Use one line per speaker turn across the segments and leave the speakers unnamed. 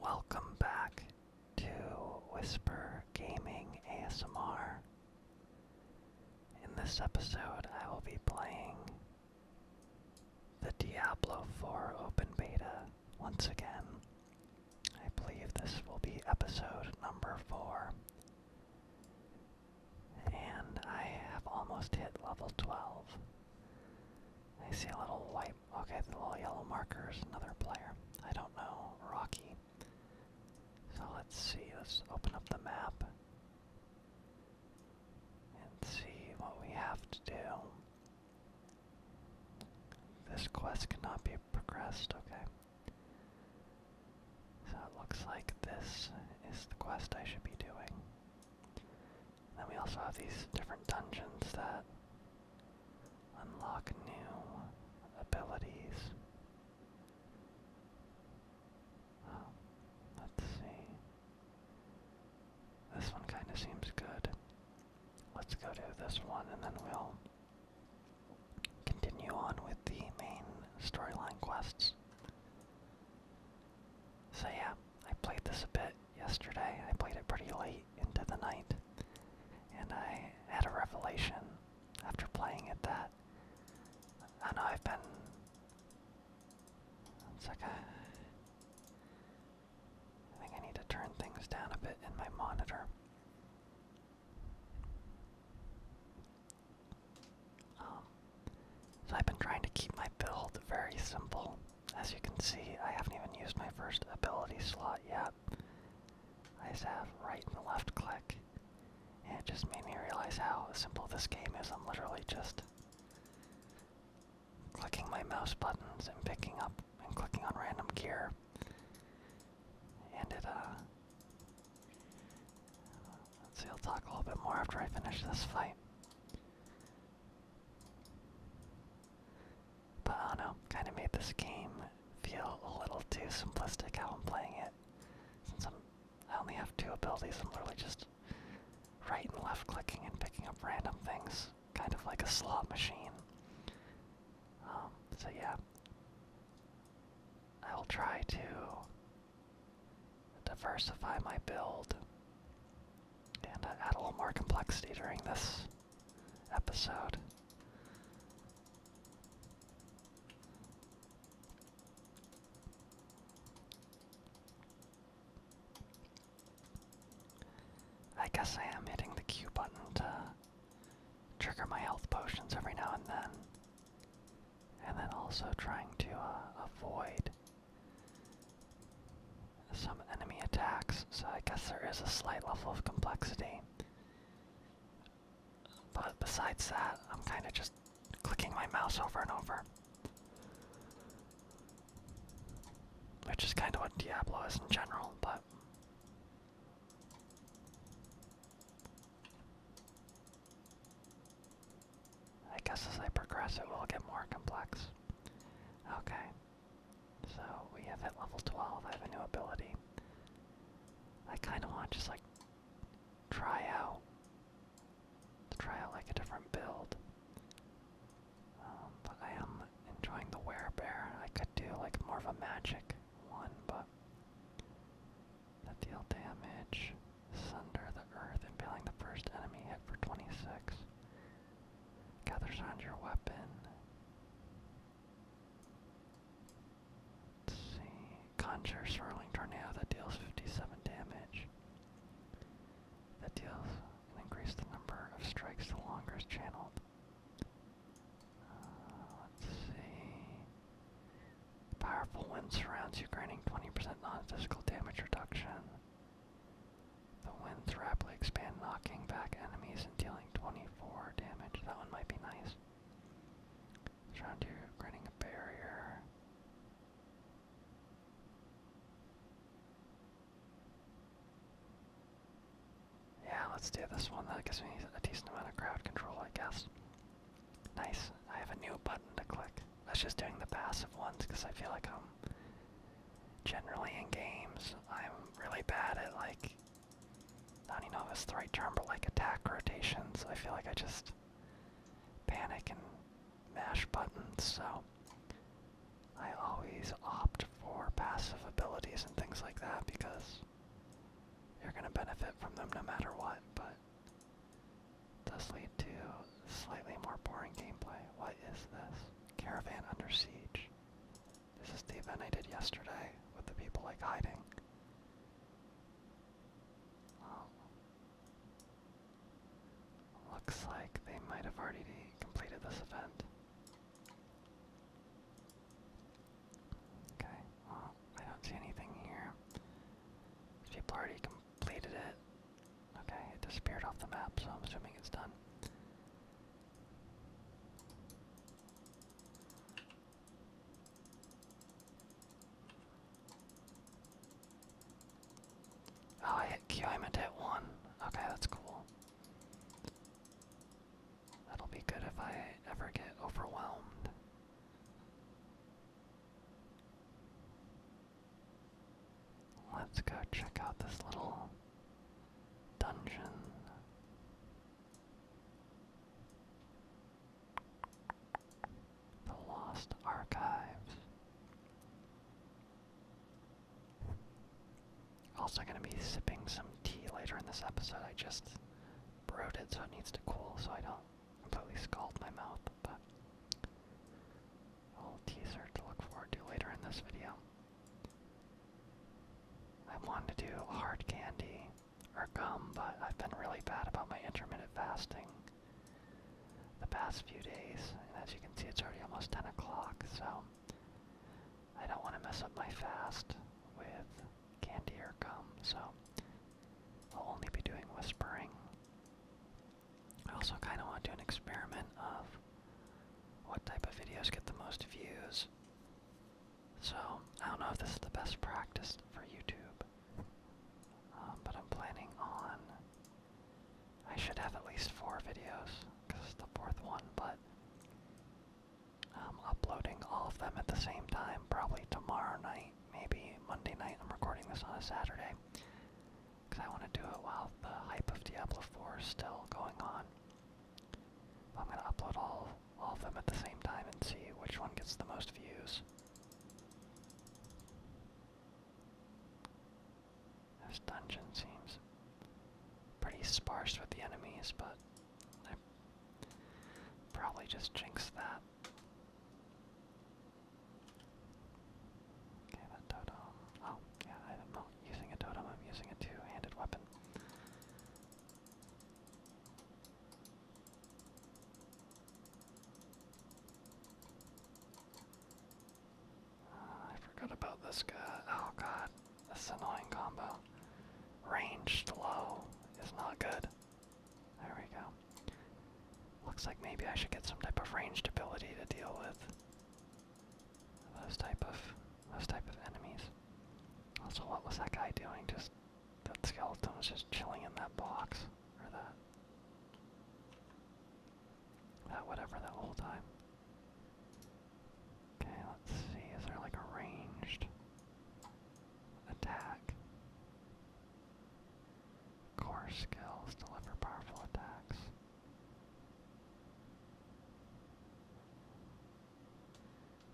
Welcome back to Whisper Gaming ASMR. In this episode, I will be playing the Diablo 4 Open Beta once again. I believe this will be episode number 4. And I have almost hit level 12. I see a little white Okay, the little yellow marker is another player. I don't know, Rocky. So let's see, let's open up the map and see what we have to do. This quest cannot be progressed, okay. So it looks like this is the quest I should be doing. Then we also have these different dungeons that Unlock new abilities. Oh, let's see. This one kind of seems good. Let's go to this one and then we'll continue on with the main storyline quests. So, yeah, I played this a bit yesterday. I played it pretty late into the night. And I had a revelation after playing it that I know I've been. It's like a, I think I need to turn things down a bit in my monitor. Um, so I've been trying to keep my build very simple as you can see, I haven't even used my first ability slot yet. I just have right and left click. And it just made me realize how simple this game is. I'm literally just clicking my mouse buttons and picking up and clicking on random gear. And it, uh. let I'll talk a little bit more after I finish this fight. But I do kind of made this game feel a little too simplistic how I'm playing it. Since i only have two abilities, I'm literally just right and left clicking and picking up random things, kind of like a slot machine. Um, so yeah, I will try to diversify my build and uh, add a little more complexity during this episode. I guess I am hitting the Q button to trigger my health potions every now and then. And then also trying to uh, avoid some enemy attacks, so I guess there is a slight level of complexity. But besides that, I'm kind of just clicking my mouse over and over. Which is kind of what Diablo is in general, but. I guess as I progress, it will get more complex. Okay. So we have hit level 12, I have a new ability. I kinda wanna just like try out try out like a different build. Um, but I am enjoying the wear bear. I could do like more of a magic one, but that deal damage. Sunder the earth, and impaling the first enemy hit for 26 gathers around your weapon. see. Conjure Swirling Tornado that deals 57 damage. That deals and increases the number of strikes the longer is channeled. Uh, let's see. Powerful wind surrounds you, granting 20% non-physical damage reduction. The winds rapidly expand, knocking back enemies and dealing 24 damage. That one might be nice. Surround you, creating a barrier. Yeah, let's do this one. That gives me a decent amount of crowd control, I guess. Nice. I have a new button to click. That's just doing the passive ones because I feel like I'm generally in games, I'm really bad at like, I don't even know if the right term, but like attack rotations. I feel like I just panic and mash buttons, so I always opt for passive abilities and things like that because you're going to benefit from them no matter what, but it does lead to slightly more boring gameplay. What is this? Caravan under siege. This is the event I did yesterday with the people like hiding. Um, looks like they might have already completed this event. Okay, well, I don't see anything here. People already completed it. Okay, it disappeared off the map, so I'm assuming it's done. Oh, I hit Q, I meant to hit 1. Okay, that's cool. That'll be good if I ever get overwhelmed. Let's go check out this little dungeon. The Lost Archives. Also gonna be sipping some tea later in this episode. I just brewed it so it needs to cool so I don't completely scald my mouth, but a little teaser to look forward to later in this video. I wanted to do hard candy or gum, but I've been really bad about my intermittent fasting the past few days. And as you can see, it's already almost 10 o'clock, so I don't want to mess up my fast with candy or gum, so I'll only be doing whispering. I also kind of want to do an experiment of what type of videos get the most views. So, I don't know if this is the best practice for YouTube, um, but I'm planning on. I should have at least four videos, because it's the fourth one, but I'm um, uploading all of them at the same time, probably tomorrow night, maybe Monday night. I'm recording this on a Saturday, because I want to do it while the hype of Diablo 4 is still going on. I'm gonna upload all, all of them at the same time and see which one gets the most views. This dungeon seems pretty sparse with the enemies, but I probably just jinxed that. Oh, yeah, I don't know using a totem, I'm using a two-handed weapon. Uh, I forgot about this guy. Oh god, this is annoying combo. Ranged low is not good. There we go. Looks like maybe I should get some type of ranged ability to deal with those type of those type of enemies. Also, what was that guy doing? Just that skeleton was just chilling in that box or that that whatever that whole time. Okay, let's see. Is there like a ranged attack? Core skills deliver powerful attacks.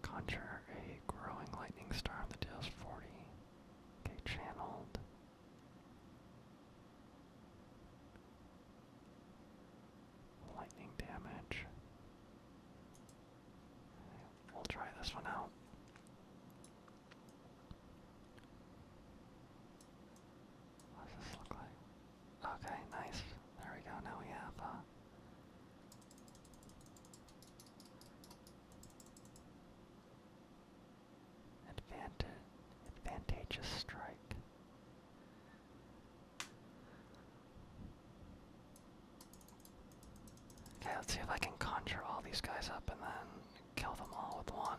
Conjure a growing lightning star on the Tails 40. Okay, channeled. Lightning damage. We'll try this one out. What does this look like? Okay, nice. There we go. Now we have uh, advantage, advantageous strike. Okay, let's see if I can conjure all these guys up and then kill them all with one.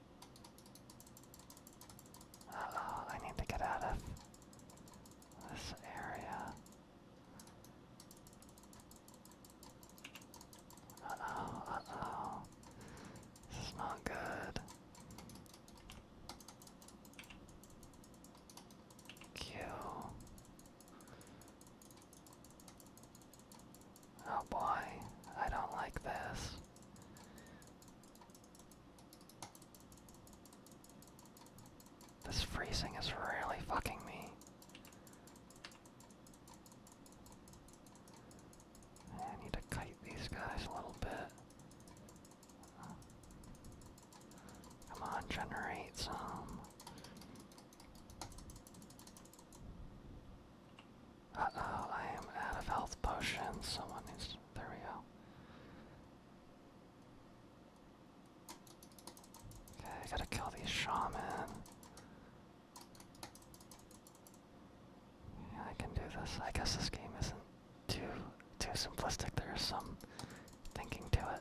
Uh oh, I need to get out of this area. Uh oh, uh oh. This is not good. Q. Oh boy, I don't like this. This freezing is really fucking me. I need to kite these guys a little bit. Come on, generate some. Uh oh, I am out of health potions. Someone needs There we go. Okay, I gotta kill these shaman. I can do this. I guess this game isn't too too simplistic. There is some thinking to it.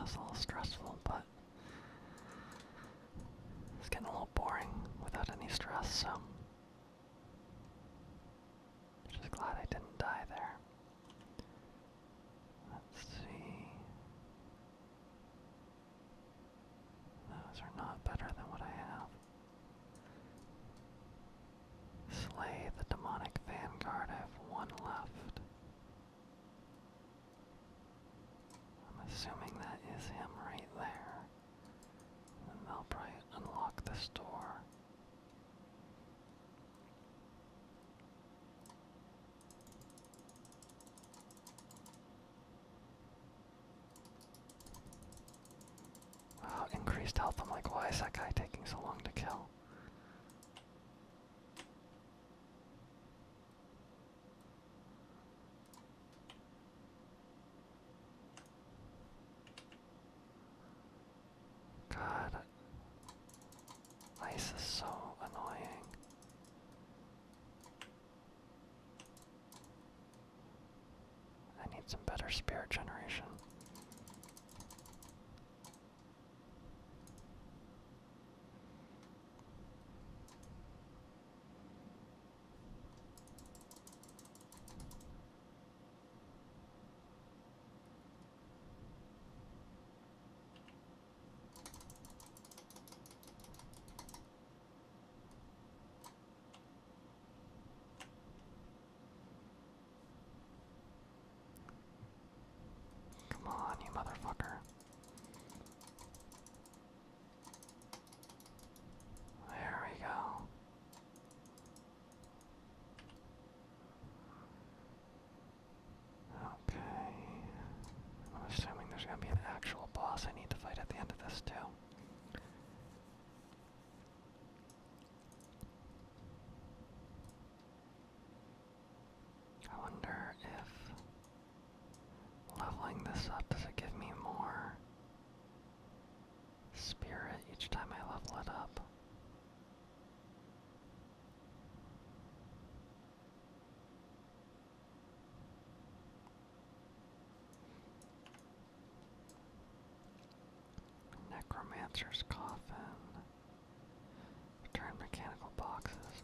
Was a little stressful, but it's getting a little boring without any stress, so just glad I didn't die there. Let's see. Those are not better than what I have. Slay the demonic vanguard. I have one left. I'm assuming that is him right there. they'll probably unlock this door. Wow, oh, increased health. I'm like, why is that guy taking so long to kill? God, ice is so annoying. I need some better spirit generation. Come on, you motherfucker. There we go. Okay. I'm assuming there's going to be an actual boss I need to fight at the end of this, too. I wonder if Leveling this up, does it give me more spirit each time I level it up? Necromancer's coffin. Return mechanical boxes.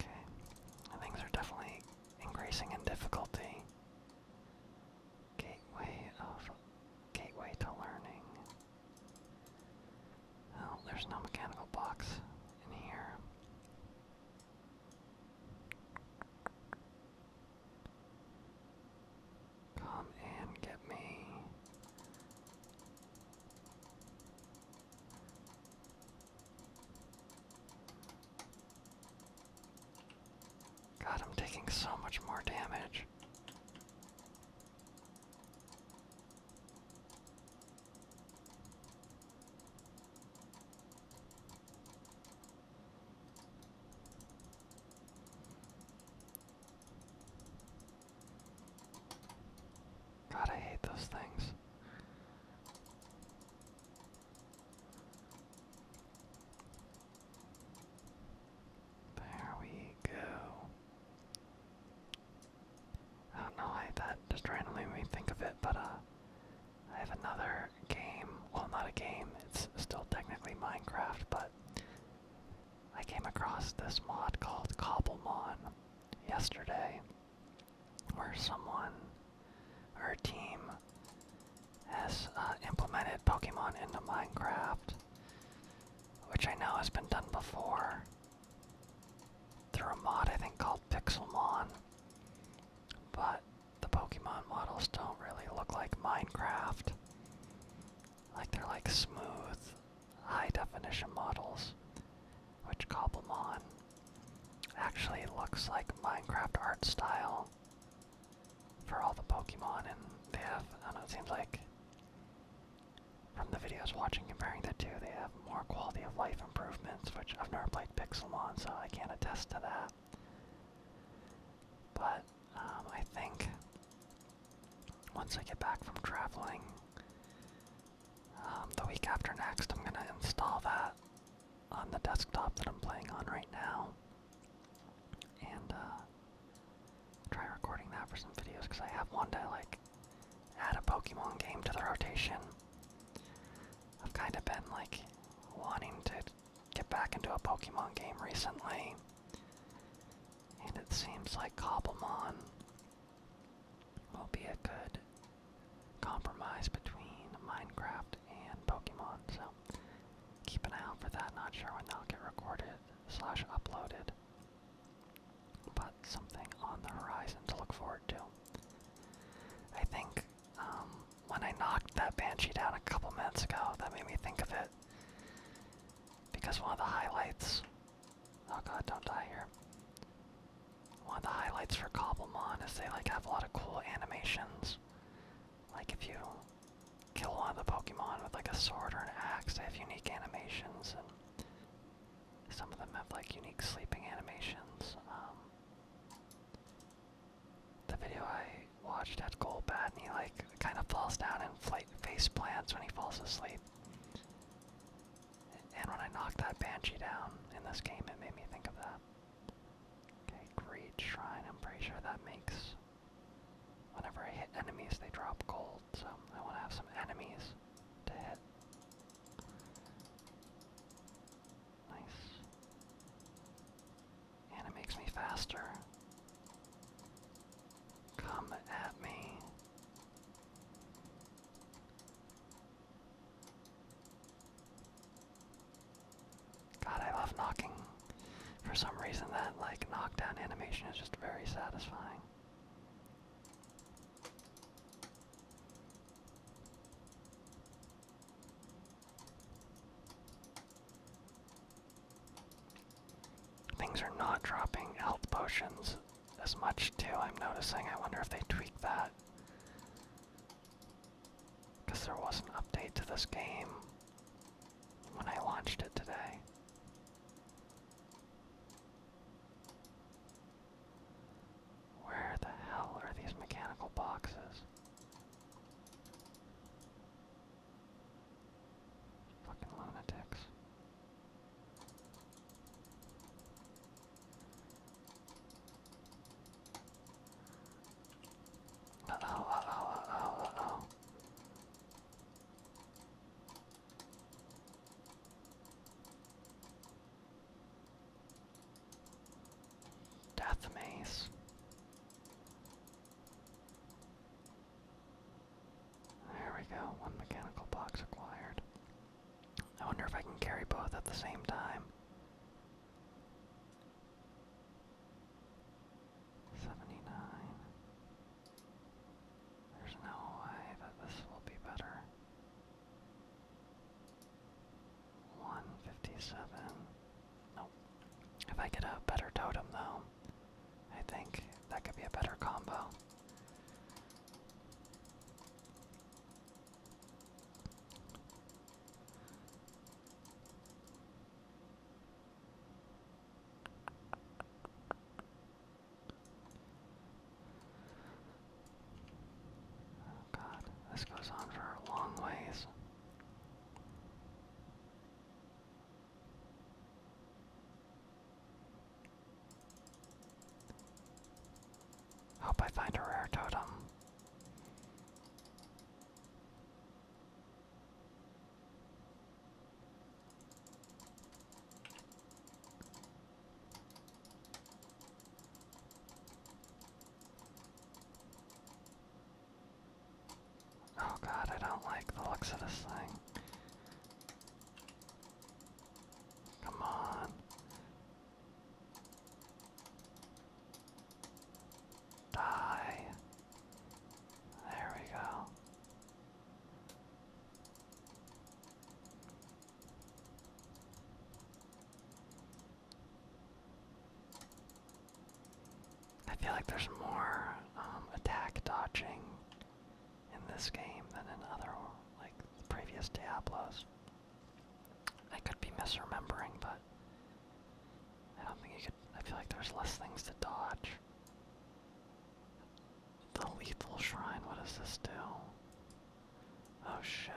Okay, things are definitely increasing in difficulty. Gateway of gateway to learning. Well, oh, there's no mechanical box in here. Come and get me. God, I'm taking so much more damage. God, I hate those things. There we go. I don't know that just randomly made me think of it, but uh, I have another game. Well, not a game, it's still technically Minecraft, but I came across this mod called Cobblemon yesterday where someone or a team has uh, implemented Pokemon into Minecraft, which I know has been done before through a mod I think called Pixelmon, but the Pokemon models don't really look like Minecraft. Like they're like smooth, high definition models, which Cobblemon Actually, looks like Minecraft art style for all the Pokemon, and they have, I don't know, it seems like from the videos watching comparing the two, they have more quality of life improvements, which I've never played Pixelmon, so I can't attest to that. But um, I think once I get back from traveling, um, the week after next, I'm going to install that on the desktop that I'm playing on right now. And uh, try recording that for some videos because I have one to like add a Pokemon game to the rotation. I've kind of been like wanting to get back into a Pokemon game recently. And it seems like Cobblemon will be a good compromise between Minecraft and Pokemon, so keep an eye out for that. Not sure when that'll get recorded slash uploaded, but something on the horizon to look forward to. I think um, when I knocked that Banshee down a couple minutes ago, that made me think of it because one of the highlights. Oh god, don't die here. One of the highlights for Cobblemon is they like have a lot of cool animations. Like if you kill one of the Pokemon with like a sword or an axe, they have unique animations, and some of them have like unique sleeping animations. Um, the video I watched had Golbat, and he like kind of falls down and flight face plants when he falls asleep. And when I knocked that banshee down in this game, it made me think of that. Okay, greed shrine. I'm pretty sure that makes. Whenever I hit enemies, they drop gold, so I want to have some enemies to hit. Nice. And it makes me faster. Come at me. God, I love knocking. For some reason, that like knockdown animation is just very satisfying. Things are not dropping health potions as much too. I'm noticing. I wonder if they tweak that. Because there was an update to this game when I launched it today. Where the hell are these mechanical boxes? Fucking lunatics. Uh oh, uh oh, oh, oh. Death Maze. There we go, one mechanical box acquired. I wonder if I can carry both at the same time. Seventy nine. There's no way that this will be better. One fifty seven. Nope. If I get a better totem though, I think that could be a better combo. Oh god, this goes on for a long ways. Hope I find a rare totem. Oh god, I don't like the looks of this thing. Come on. Die. There we go. I feel like there's more um, attack dodging in this game than in other, like, previous Diablos. I could be misremembering, but I don't think you could. I feel like there's less things to dodge. The lethal shrine, what does this do? Oh shit.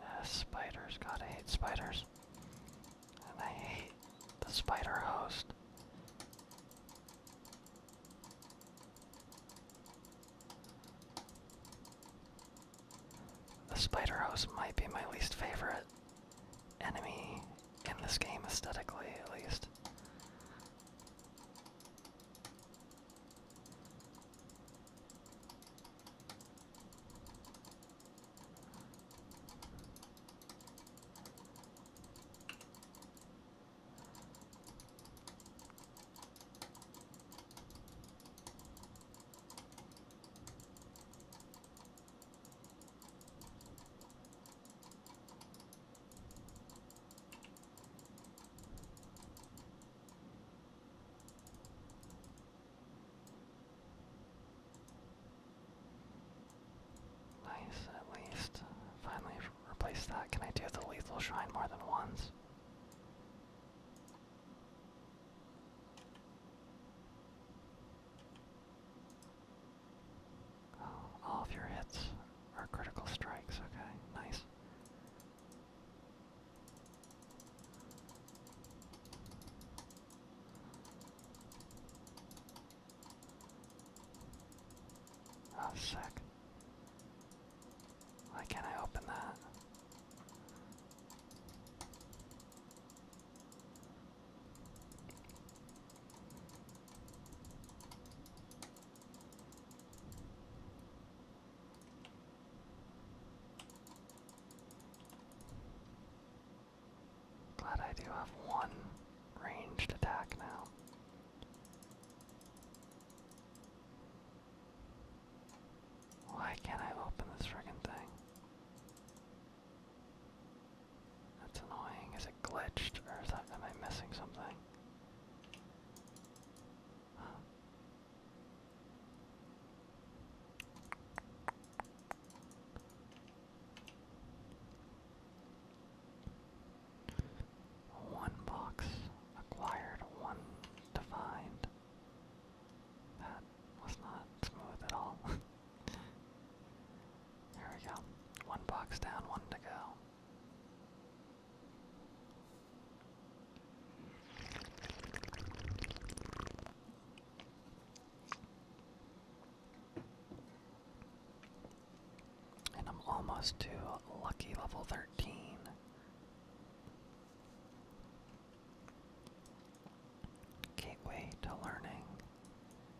Uh, spiders, God, I hate spiders. And I hate the spider host. The spider host might be my least favorite enemy in this game aesthetically at least. Nice, at least. Finally replace that. Can I do the lethal shrine more than once? Oh, all of your hits are critical strikes, okay, nice. Oh, sick. Why can't I open that? Glad I do have one ranged attack now. Why can't I open this friggin' thing? That's annoying. Is it glitched or am I missing something? One box acquired, one defined. That was not smooth at all. There we go. One box down, one to go. And I'm almost to lucky level 13. Gateway to learning.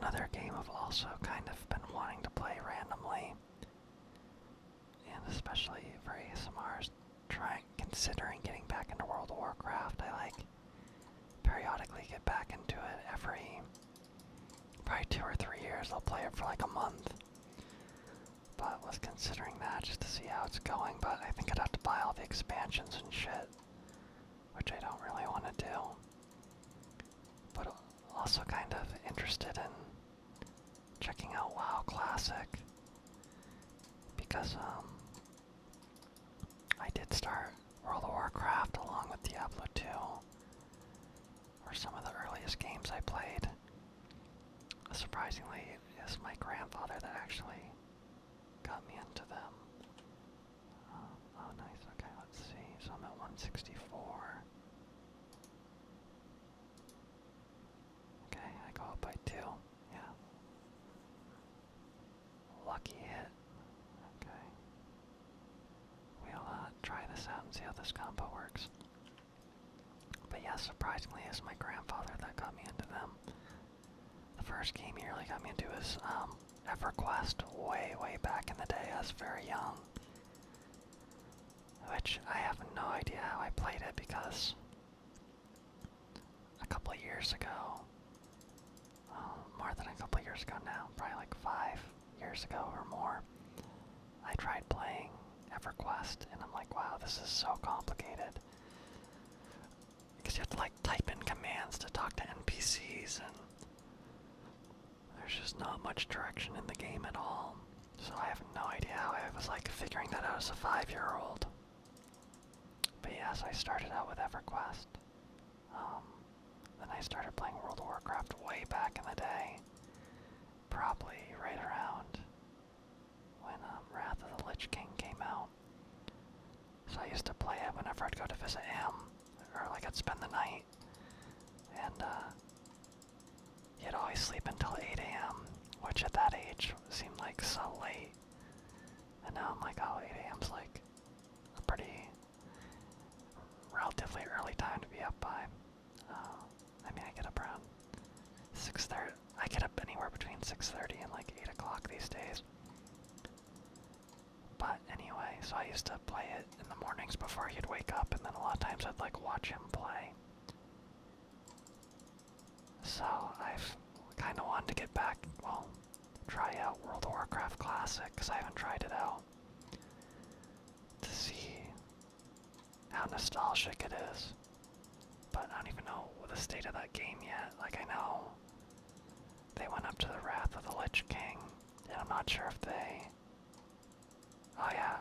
Another game I've also kind of been wanting to play randomly, and especially for ASMRs, trying considering getting back into World of Warcraft. I like periodically get back into it every probably two or three years. I'll play it for like a month. But was considering that just to see how it's going, but I think I'd have to buy all the expansions and shit, which I don't really want to do. But also kind of interested in checking out WoW Classic because um I did start World of Warcraft along with Diablo 2 were some of the earliest games I played. Surprisingly, it was my grandfather that actually got me into them. Um, oh, nice. Okay, let's see. So I'm at 164. Okay, I go up by two. Yeah. Lucky hit. Okay. We'll uh, try this out and see how this combo works. But yeah, surprisingly, it's my grandfather that got me into them. The first game he really got me into is um, EverQuest way, way back in the day. I was very young. Which I have no idea how I played it because a couple of years ago uh, more than a couple years ago now, probably like five years ago or more. I tried playing EverQuest, and I'm like, wow, this is so complicated. Because you have to like type in commands to talk to NPCs, and there's just not much direction in the game at all. So I have no idea how I was like figuring that out as a five year old. But yes, I started out with EverQuest. Um, then I started playing World of Warcraft way back in the day, probably right around when um, Wrath of the Lich King came out. So I used to play it whenever I'd go to visit him, or like I'd spend the night, and uh, would always sleep until 8 a.m., which at that age seemed like so late. And now I'm like, oh, 8 a.m.'s like a pretty relatively early time to be up by. Uh, I mean, I get up around six thirty. I get up anywhere between six thirty and like eight o'clock these days. But anyway, so I used to play it in the mornings before he'd wake up, and then a lot of times I'd like watch him play. So I've kind of wanted to get back. Well, try out World of Warcraft Classic because I haven't tried it out to see how nostalgic it is. But I don't even know the state of that game yet. Like, I know they went up to the Wrath of the Lich King, and I'm not sure if they. Oh, yeah.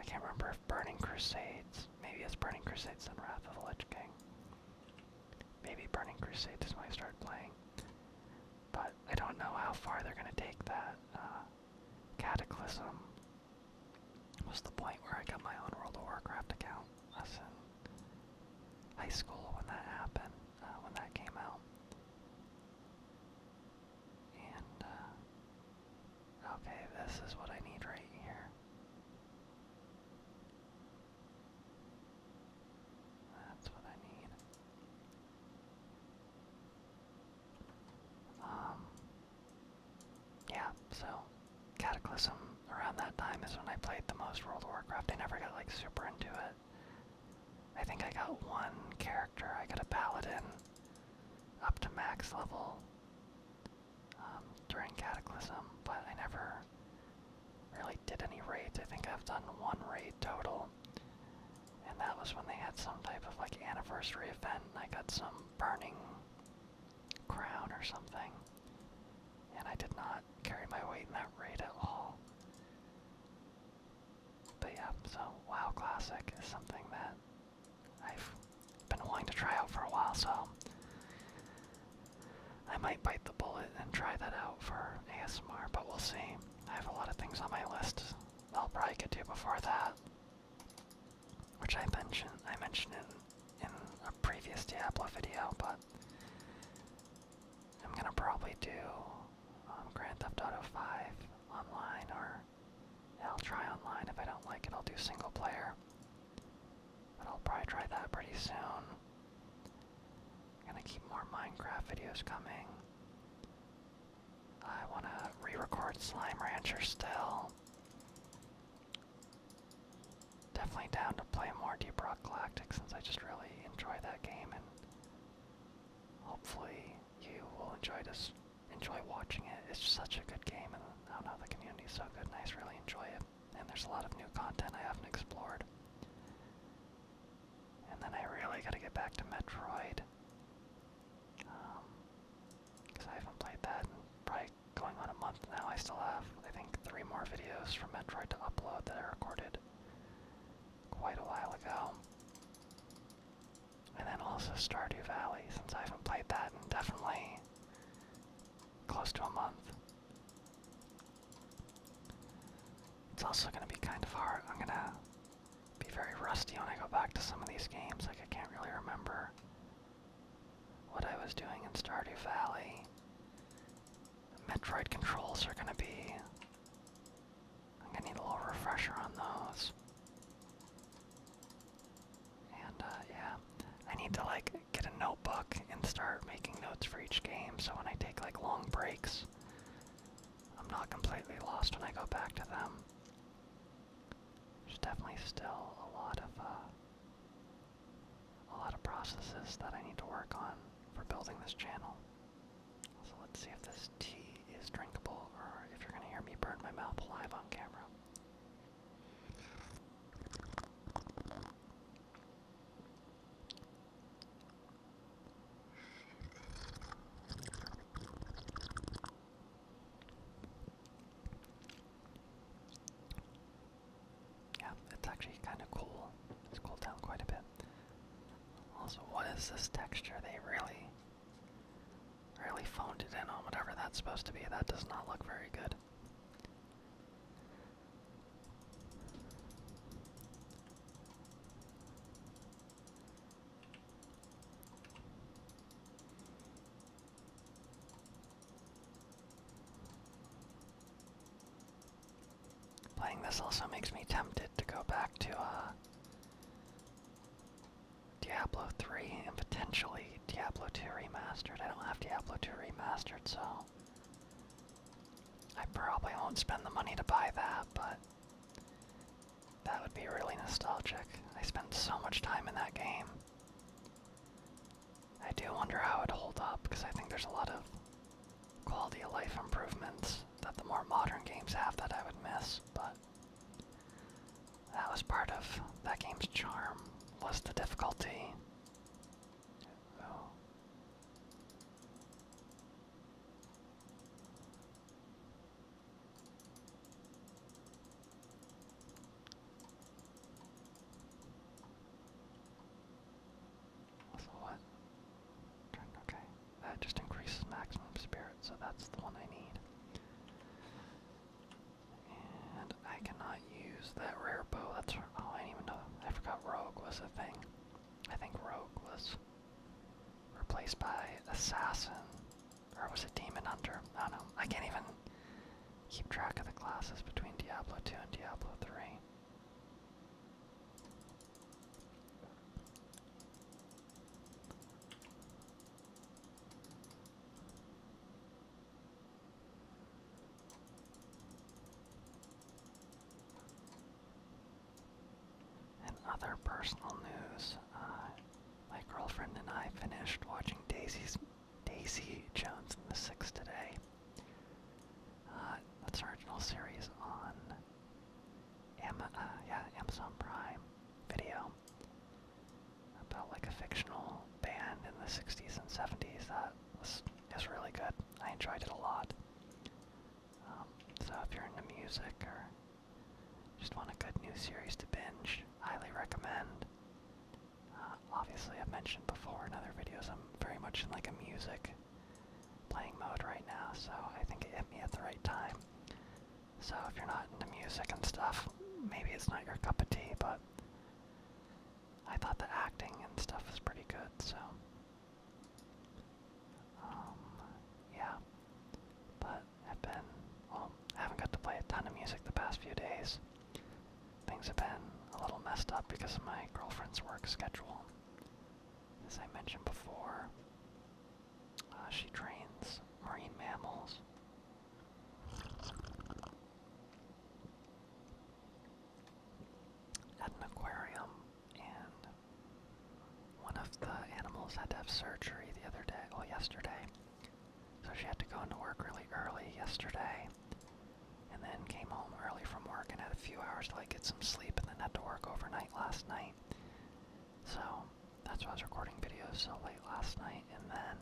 I can't remember if Burning Crusades. Maybe it's Burning Crusades and Wrath of the Lich King. Maybe Burning Crusade is when I start playing. But I don't know how far they're going to take that. Uh, Cataclysm was the point where I got my own World of Warcraft account. I was in high school when that happened, uh, when that came out. And, uh, okay, this is what I need right here. That's what I need. Um, yeah, so Cataclysm around that time is when I played the most World of Warcraft. I never got like super into it. I think I got one character. I got a paladin up to max level um, during Cataclysm, but I never really really did any raids. I think I've done one raid total. And that was when they had some type of like anniversary event and I got some burning crown or something. And I did not carry my weight in that raid at all. But yeah, so WoW Classic is something that I've been wanting to try out for a while, so I might bite the bullet and try that out for ASMR, but we'll see. I have a lot of things on my list I'll probably get to before that, which I mentioned I mentioned in in a previous Diablo video, but I'm gonna probably do um, Grand Theft Auto 5 online, or I'll try online. If I don't like it, I'll do single player, but I'll probably try that pretty soon. Gonna keep more Minecraft videos coming. I wanna re-record Slime Rancher still. Definitely down to play more Deep Rock Galactic since I just really enjoy that game and hopefully you will enjoy this enjoy watching it. It's such a good game and I don't know the community is so good nice, really enjoy it. And there's a lot of new content I haven't explored. And then I really gotta get back to Metroid. because um, I haven't played that in probably going on a month now. I still have, I think, three more videos from Metroid to upload that I recorded quite a while ago. And then also Stardew Valley, since I haven't played that in definitely close to a month. It's also going to be kind of hard. I'm going to be very rusty when I go back to some of these games. Like, I can't really remember what I was doing in Stardew Valley. Metroid controls are going to be. I'm going to need a little refresher on those. And, uh, yeah. I need to, like, get a notebook and start making notes for each game so when I take, like, long breaks, I'm not completely lost when I go back to them. There's definitely still a lot of uh, a lot of processes that I need to work on for building this channel. So let's see if this tea is drinkable, or if you're gonna hear me burn my mouth live on camera. Yeah, it's actually kind of cool. It's cooled down quite a bit. Also, what is this texture? They really, really phoned it in on whatever that's supposed to be. That does not look very good. Playing this also makes me tempted to go back to uh, Diablo 3 and potentially Diablo 2 Remastered. I don't have Diablo 2 Remastered, so I probably won't spend the money to buy that, but that would be really nostalgic. I spent so much time in that game. I do wonder how it hold up because I think there's a lot of quality of life improvements that the more modern games have that I would miss, but that was part of that game's charm was the difficulty. Also what? Okay, that just increases maximum spirit, so that's the one I need. And I cannot use that rare bow. That's oh, I even know. I forgot rogue was a thing. I think rogue was Replaced by Assassin. Or was it Demon Hunter? I don't know. I can't even keep track of the classes between Diablo 2 and Diablo 3. And other personal news, uh, my girlfriend and I finished watching Daisy's, Daisy Jones and the Six today. Uh, that's original series on Am uh, Amazon Prime Video about like a fictional band in the 60s and 70s. That was, is really good. I enjoyed it a lot. Um, so if you're into music or just want a good new series to binge, highly recommend. Uh, obviously, I've mentioned before in other videos, I'm very much in like a music playing mode right now, so I think it hit me at the right time. So if you're not into music and stuff, maybe it's not your cup of tea, but I thought the acting and stuff was pretty good, so um, yeah. But I've been, well, I haven't got to play a ton of music the past few days. Things have been a little messed up because of my girlfriend's work schedule. As I mentioned before, uh, she trains marine mammals. At an aquarium, and one of the animals had to have surgery the other day, well, yesterday. So she had to go into work really early yesterday, and then came home early from work and had a few hours to like get some sleep, and then had to work overnight last night. So that's why I was recording videos so late last night, and then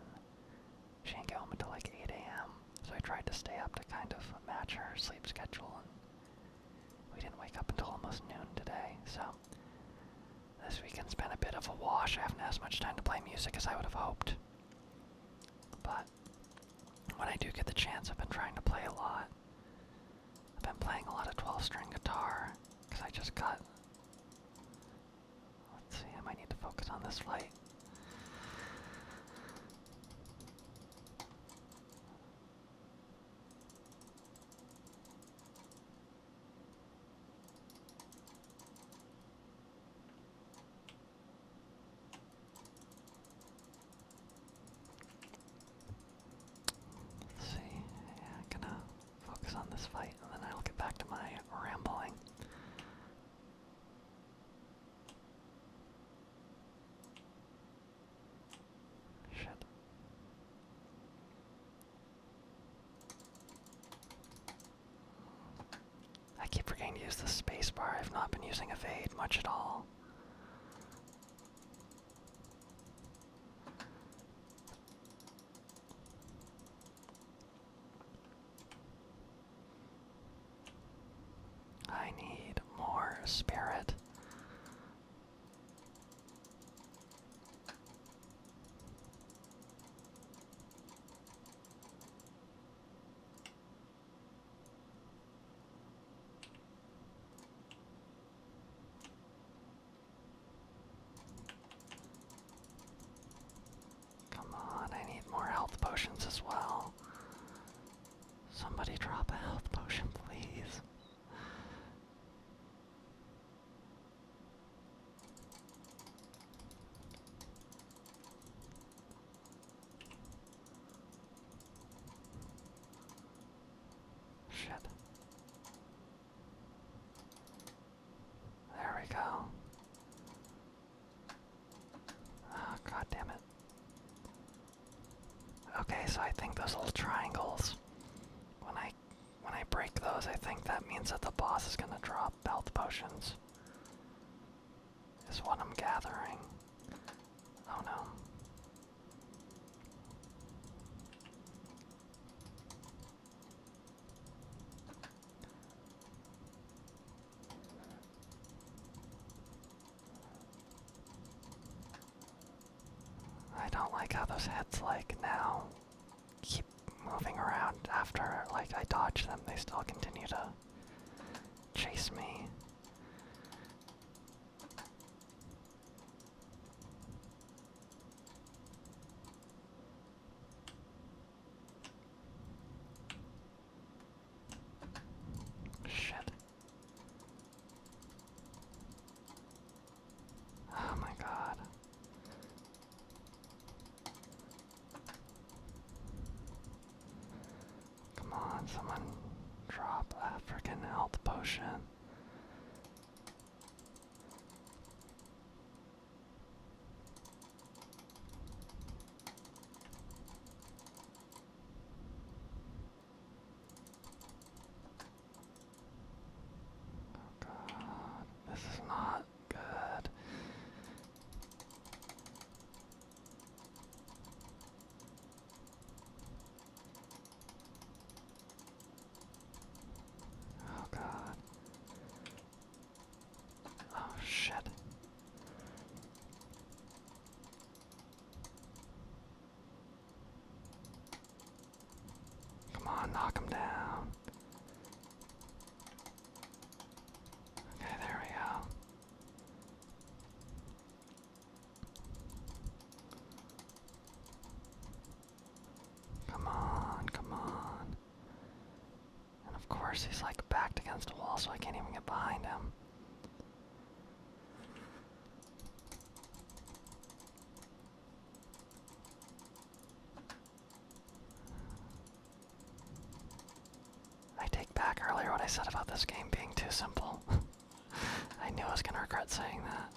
she didn't get home until like 8 a.m. So I tried to stay up to kind of match her sleep schedule and we didn't wake up until almost noon today, so this weekend's been a bit of a wash. I haven't had as much time to play music as I would have hoped. But when I do get the chance, I've been trying to play a lot. I've been playing a lot of 12 string guitar because I just got. Let's see, I might need to focus on this light. Let's see. Yeah, I'm gonna focus on this fight and then I'll get back to my rambling. Shit. I keep forgetting to use the spacebar. I've not been using evade much at all. I need more spirit. Come on, I need more health potions as well. Somebody drop a health potion, please. Shit. There we go. Oh, ah, God it. Okay, so I think those little triangles, when I when I break those, I think that means that the boss is gonna drop belt potions. Is what I'm gathering. Oh no. I don't like how those heads like now keep moving around after like I dodge them, they still continue to chase me. Shit. Oh my god. Come on, someone drop a freaking health potion. Oh god, this is not good. Oh god. Oh shit. Come on, knock him down. Okay, there we go. Come on, come on. And of course, he's like backed against a wall, so I can't even get behind him. I take back earlier what I said about this game being too simple. I knew I was gonna regret saying that.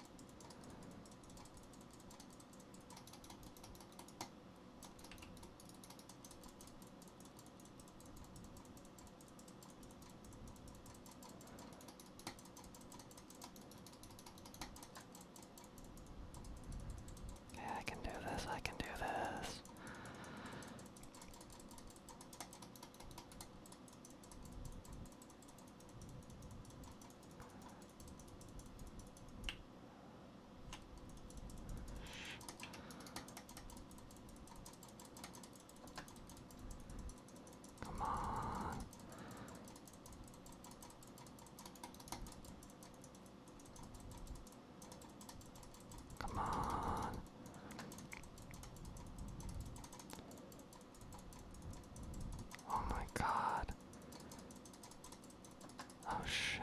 Okay, I can do this, I can do this. Come on. Come on. Oh my god. Oh shit.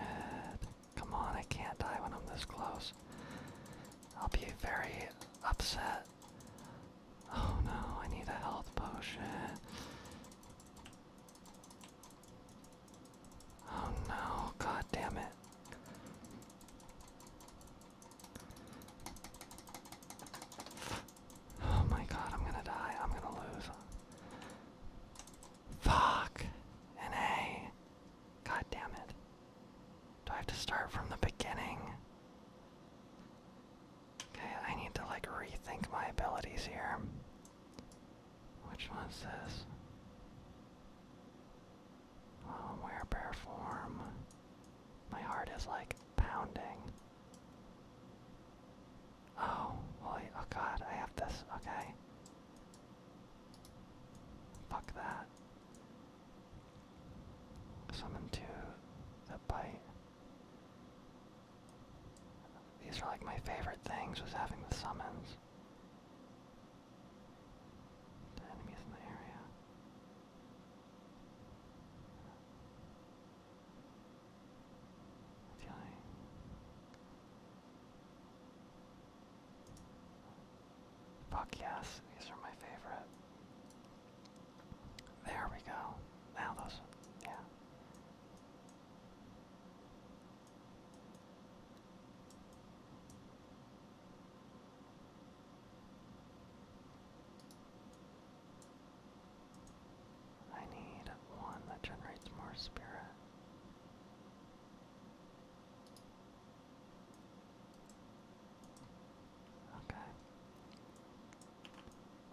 Come on, I can't die when I'm this close. I'll be very upset. Oh no, I need a health potion. Oh no, god damn it. Oh my god, I'm gonna die. I'm gonna lose. Fuck. An A. God damn it. Do I have to start from the beginning? Okay, I need to like rethink my abilities here. Which one's this? Oh, where bear form? My heart is like pounding. Oh, well, oh god, I have this, okay. Fuck that. Summon to the bite. These are like my favorite things was having the summons. The enemies in the area. Fuck yes, these are my favorite. There we go. Now those, yeah. I need one that generates more spirit. Okay.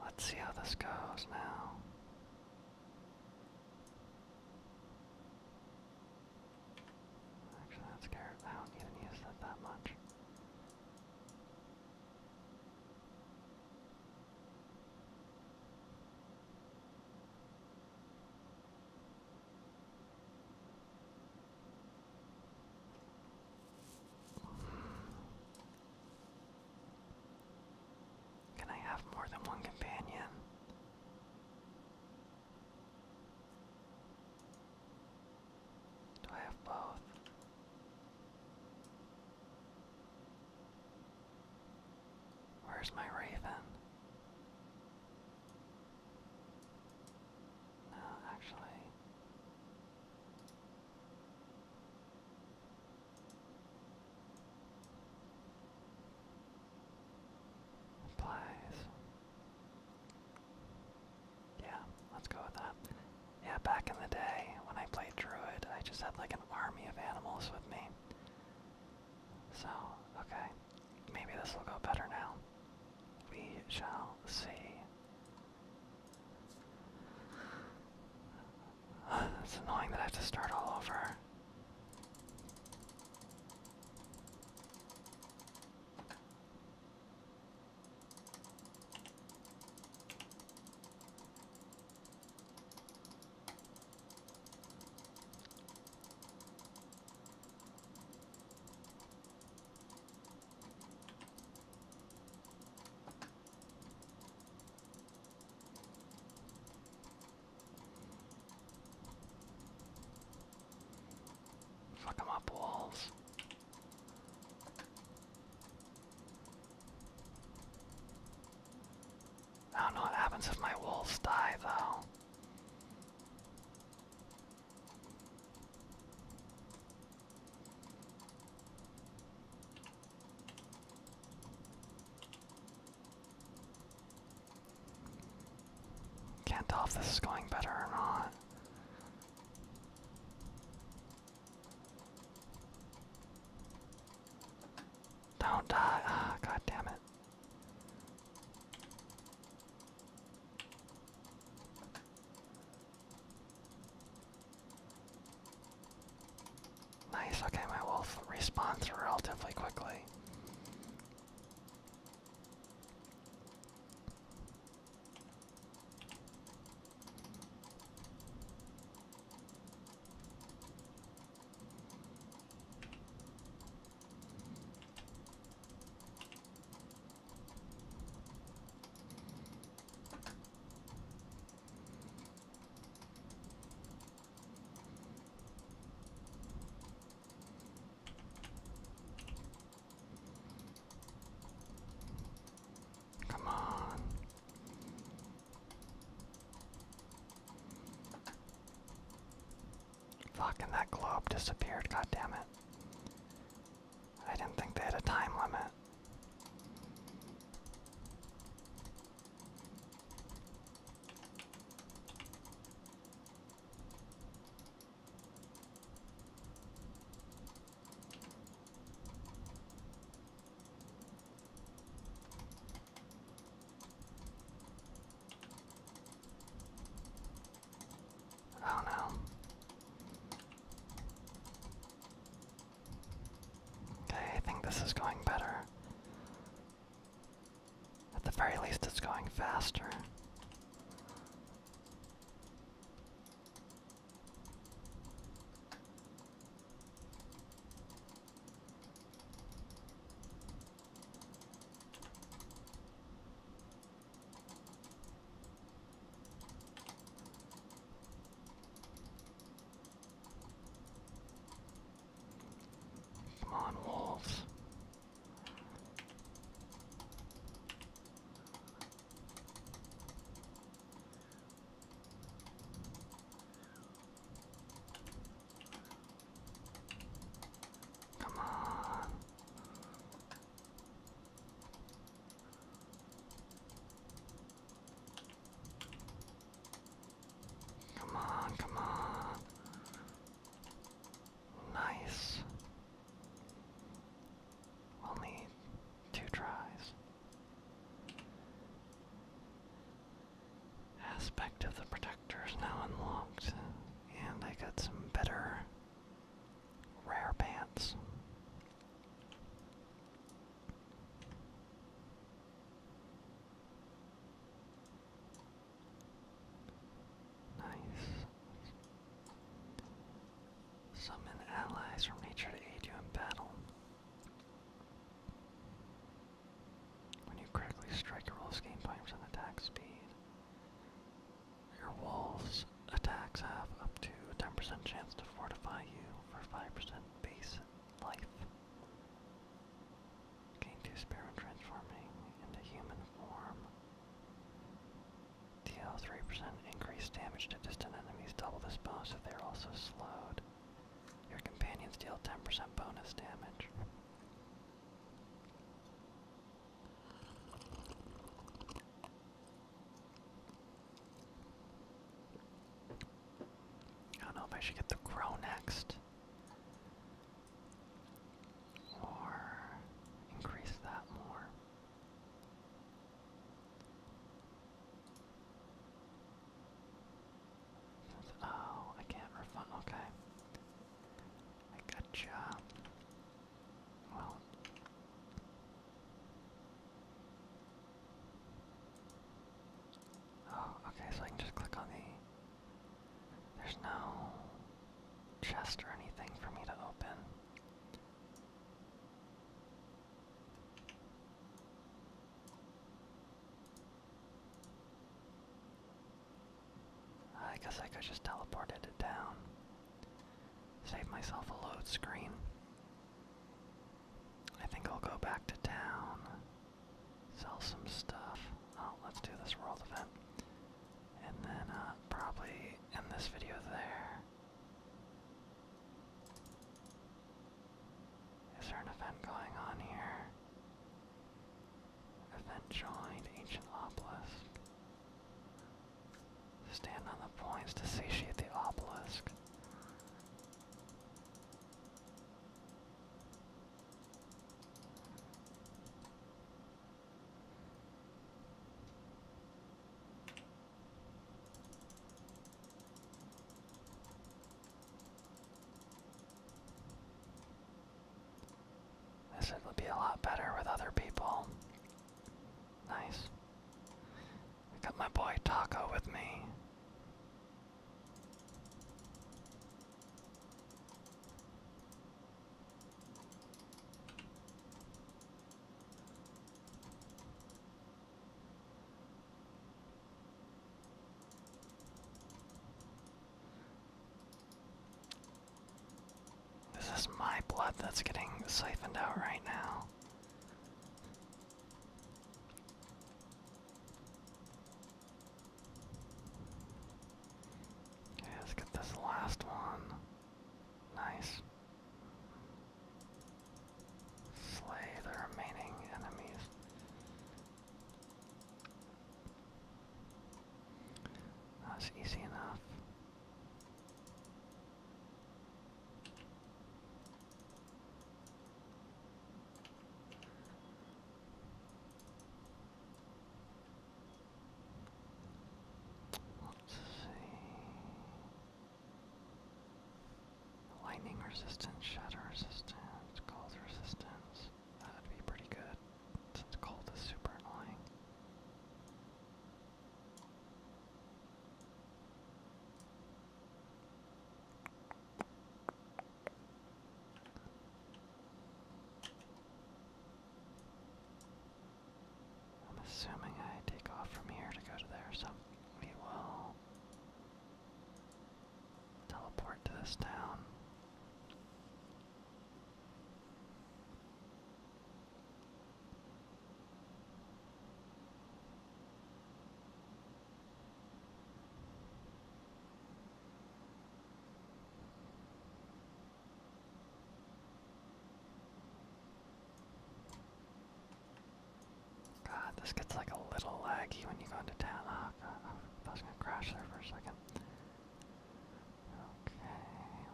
Let's see how this goes now. Actually, that's carrot. I don't even use that that much. Can I have more than one companion? Do I have both? Where's my raven? No, actually. Applies. Yeah, let's go with that. Yeah, back in the day when I played Druid, I just had like an army of animals with me. So, okay. Maybe this will go better now. We shall see. It's annoying that I have to start all over. Fuck them up, wolves. I don't know what happens if my wolves die, though. Can't tell if this is going better or not. Don't die. Ah, god damn it. Nice, okay, my wolf responds relatively quickly. Come on. Fucking that globe disappeared, god damn it. I didn't think they had a time limit. Oh no. Okay, I think this is going better. At the very least, it's going faster. Come on, wolves. Come on. Come on, come on. Nice. We'll need two tries. Aspect of the protector is now unlocked, and I got some better rare pants. Nice. Summon allies from nature to aid you in battle. When you critically strike, your wolves game 5% attack speed. Your wolves Attacks have up to a 10% chance to fortify you for 5% base life. Gain two spear transforming into human form. Deal 3% increased damage to distant enemies, double this bonus if they're also slowed. Your companions deal 10% bonus damage. I don't know if I should get the crow next. Or increase that more. Oh, I can't refund. Okay. I gotcha. Well, Oh, okay, so I can just click on the. There's no chest or anything for me to open. I guess I could just teleport it down. Save myself a load screen. I think I'll go back to town, sell some stuff. Oh, let's do this world event. And then uh, probably end this video there. Is there an event going on here? Event joined Ancient Obelisk. Stand on the points to satiate the obelisk. This would be a lot better with other people. Nice. I got my boy Taco with me. This is my blood that's getting siphoned out right now. Okay, let's get this last one. Nice. Slay the remaining enemies. That's easy enough. Let's see. Lightning resistance, shatter resistance, cold resistance. That'd be pretty good since cold is super annoying. I'm assuming I take off from here to go to there, so we will teleport to this town. God, this gets like a little laggy when you go into town. Oh, God, I was gonna crash there for a second. Okay,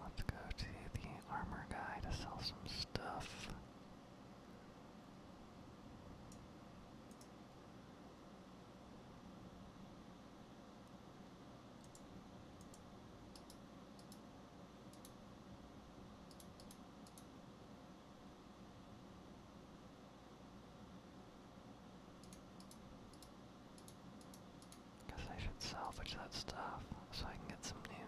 let's go to the armor guy to sell some stuff. Guess I should salvage that stuff so I can get some new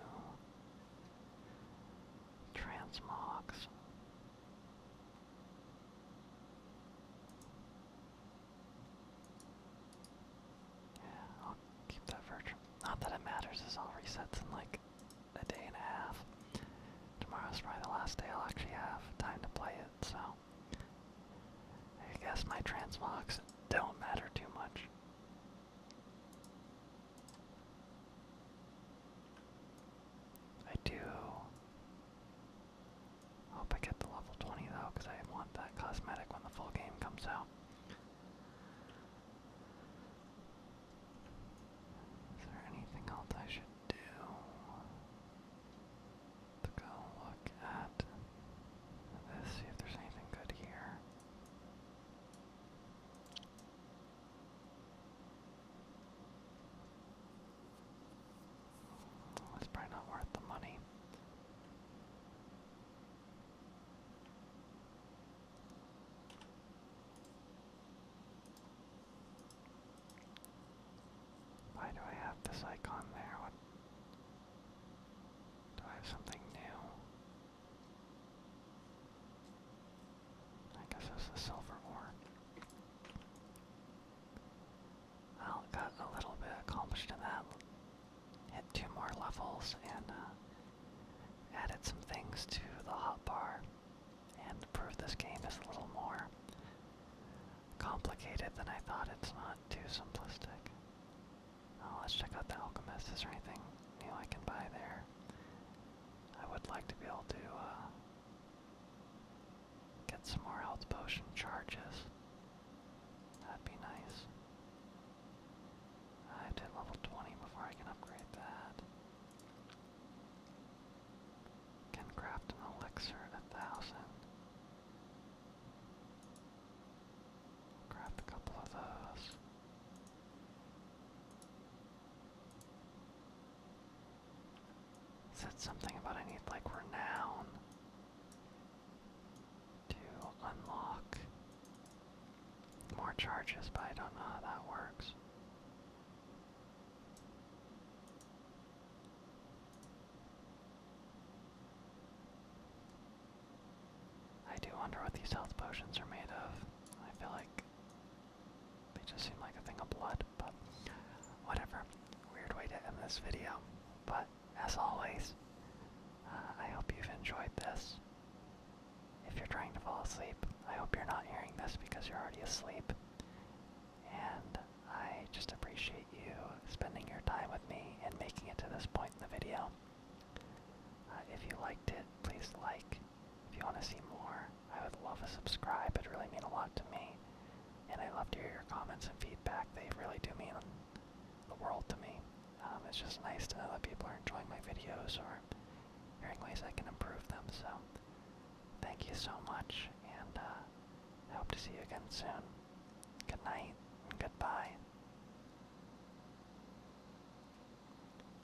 Transmogs. Yeah, I'll keep that virtual. Not that it matters, this all resets in like a day and a half. Tomorrow is probably the last day I'll actually have time to play it, so I guess my transmogs don't matter too much. I do hope I get the level 20 though, because I want that cosmetic when the full game comes out. Is there anything else I should do to go look at this, see if there's anything good here? It's probably not worth the money. Why do I have this icon there? do I have something new? I guess that's the silver ore. I got a little bit accomplished in that. Hit two more levels and uh, added some things to the hot bar and proved this game is a little more complicated than I thought. It's not too simplistic. Oh, let's check out the alchemist. Is there anything new I can buy there? I would like to be able to uh, get some more health potion charges. That'd be nice. I have to hit level 20 before I can upgrade that. Can craft an elixir at a thousand. Craft a couple of those. Said something about I need like renown to unlock more charges, but I don't know how that works. I do wonder what these health potions are made of. I feel like they just seem like a thing of blood, but whatever. Weird way to end this video. But as always, uh, I hope you've enjoyed this. If you're trying to fall asleep, I hope you're not hearing this because you're already asleep. And I just appreciate you spending your time with me and making it to this point in the video. Uh, if you liked it, please like if you want to see more, I would love to subscribe. It really mean a lot to me. And I love to hear your comments and feedback. They really do mean the world to me. Um, it's just nice to know that people are enjoying my videos or hearing ways I can improve them. So thank you so much, and uh, I hope to see you again soon. Good night and goodbye.